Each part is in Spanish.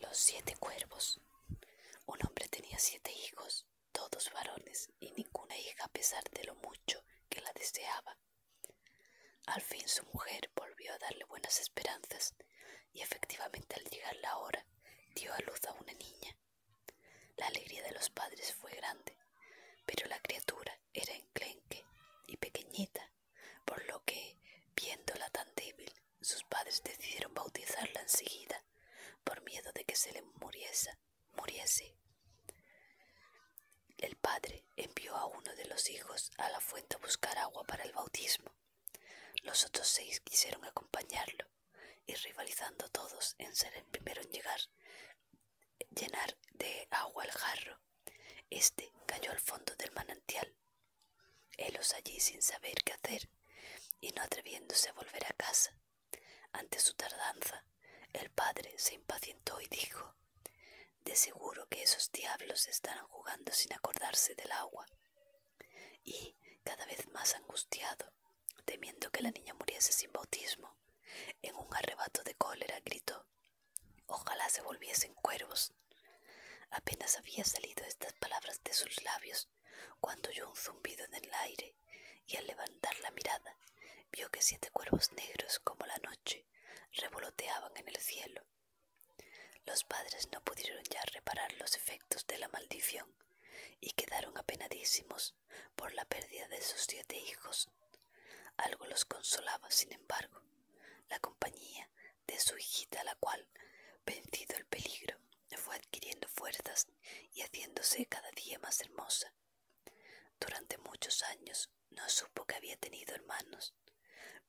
Los siete cuervos. Un hombre tenía siete hijos, todos varones, y ninguna hija a pesar de lo mucho que la deseaba. Al fin su mujer volvió a darle buenas esperanzas, y efectivamente al llegar la hora dio a luz a una niña. La alegría de los padres fue grande, pero la criatura era enclenque y pequeñita por lo que, viéndola tan débil, sus padres decidieron bautizarla enseguida, por miedo de que se le muriese. muriese. El padre envió a uno de los hijos a la fuente a buscar agua para el bautismo. Los otros seis quisieron acompañarlo, y rivalizando todos en ser el primero en llegar, llenar de agua el jarro. Este cayó al fondo del manantial Helos allí sin saber qué hacer y no atreviéndose a volver a casa. Ante su tardanza, el padre se impacientó y dijo De seguro que esos diablos estarán jugando sin acordarse del agua. Y, cada vez más angustiado, temiendo que la niña muriese sin bautismo, en un arrebato de cólera gritó Ojalá se volviesen cuervos. Apenas había salido estas palabras de sus labios cuando oyó un zumbido en el aire y al levantar la mirada vio que siete cuervos negros como la noche revoloteaban en el cielo. Los padres no pudieron ya reparar los efectos de la maldición y quedaron apenadísimos por la pérdida de sus siete hijos, algo los consolaba, sin embargo, la compañía de su hijita, la cual, vencido el peligro, fue adquiriendo fuerzas y haciéndose cada día más hermosa. Durante muchos años no supo que había tenido hermanos,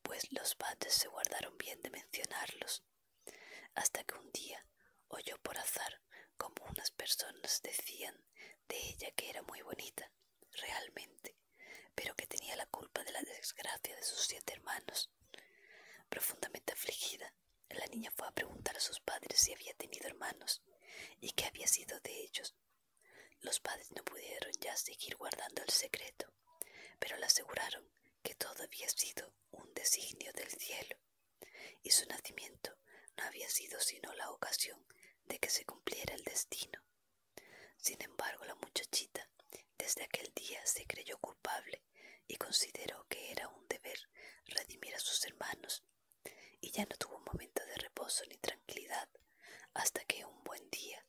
pues los padres se guardaron bien de mencionarlos, hasta que un día oyó por azar como unas personas decían de ella que era muy bonita, realmente, pero que tenía la culpa de la desgracia de sus siete hermanos. Profundamente afligida, la niña fue a preguntar a sus padres si había tenido hermanos y qué había sido de ellos. Los padres no pudieron ya seguir guardando el secreto, pero le aseguraron que todo había sido un designio del cielo y su nacimiento no había sido sino la ocasión de que se cumpliera el destino. Sin embargo, la muchachita desde aquel día se creyó culpable y consideró que era un deber redimir a sus hermanos, y ya no tuvo momento de reposo ni tranquilidad hasta que un buen día,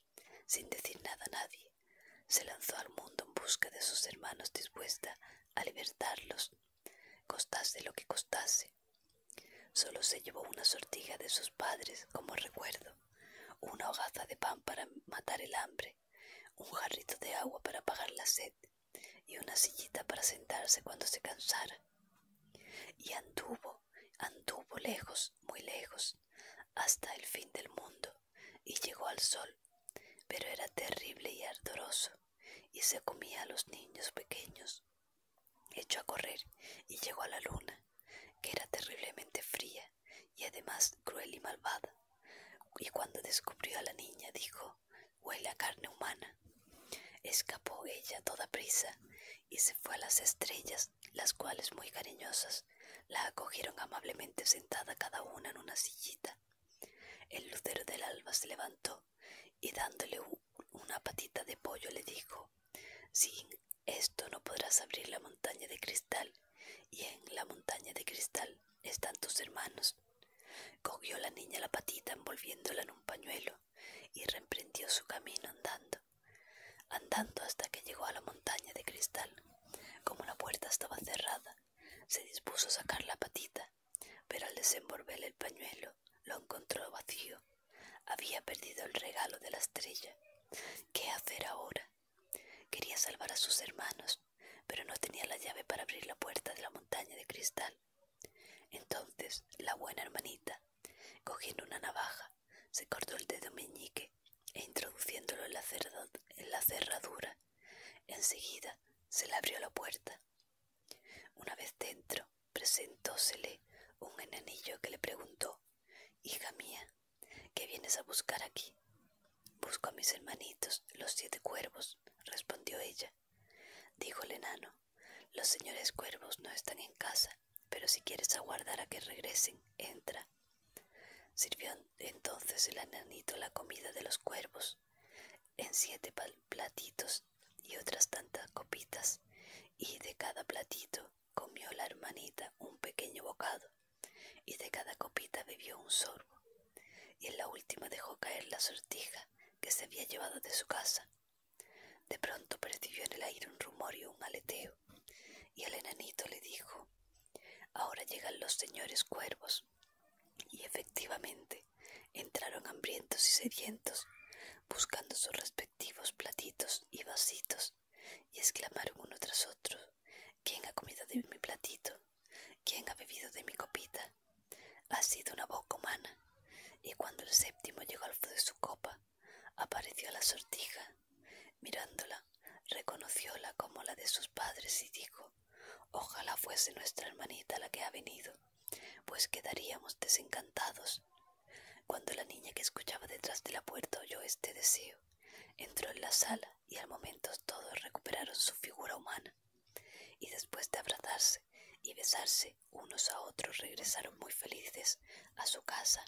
sin decir nada a nadie, se lanzó al mundo en busca de sus hermanos dispuesta a libertarlos, costase lo que costase sólo se llevó una sortija de sus padres como recuerdo, una hogaza de pan para matar el hambre, un jarrito de agua para apagar la sed y una sillita para sentarse cuando se cansara. Y anduvo, anduvo lejos, muy lejos, hasta el fin del mundo, y llegó al sol, pero era terrible y ardoroso y se comía a los niños pequeños. Echó a correr y llegó a la luna, que era terriblemente fría y además cruel y malvada. Y cuando descubrió a la niña dijo, huele a carne humana. Escapó ella toda prisa y se fue a las estrellas, las cuales muy cariñosas la acogieron amablemente sentada cada una en una sillita. El lucero del alba se levantó y dándole una patita de pollo le dijo Sin esto no podrás abrir la montaña de cristal y en la montaña de cristal están tus hermanos. Cogió la niña la patita envolviéndola en un pañuelo y reemprendió su camino andando, andando hasta que llegó a la montaña de cristal. Como la puerta estaba cerrada, se dispuso a sacar la patita pero al desenvolver el pañuelo lo encontró vacío. Había perdido el regalo de la estrella. ¿Qué hacer ahora? Quería salvar a sus hermanos, pero no tenía la llave para abrir la puerta de la montaña de cristal. Entonces la buena hermanita, cogiendo una navaja, se cortó el dedo meñique e introduciéndolo en la cerradura Enseguida se le abrió la puerta. Una vez dentro, presentósele un enanillo que le preguntó, Hija mía, ¿qué vienes a buscar aquí? Busco a mis hermanitos, los siete cuervos, respondió ella. Dijo el enano, los señores cuervos no están en casa, pero si quieres aguardar a que regresen, entra. Sirvió entonces el enanito la comida de los cuervos en siete platitos y otras tantas copitas, y de cada platito comió la hermanita un pequeño bocado, y de cada copita bebió un sorbo, y en la última dejó caer la sortija que se había llevado de su casa. De pronto percibió en el aire un rumor y un aleteo, y el enanito le dijo Ahora llegan los señores cuervos. Y efectivamente, entraron hambrientos y sedientos, buscando sus respectivos platitos y vasitos, y exclamaron uno tras otro, ¿quién ha comido de mi platito? ¿quién ha bebido de mi copita? Ha sido una boca humana. Y cuando el séptimo llegó al fondo de su copa, apareció la sortija. Mirándola, reconocióla como la de sus padres y dijo ojalá fuese nuestra hermanita la que ha venido pues quedaríamos desencantados cuando la niña que escuchaba detrás de la puerta oyó este deseo entró en la sala y al momento todos recuperaron su figura humana y después de abrazarse y besarse unos a otros regresaron muy felices a su casa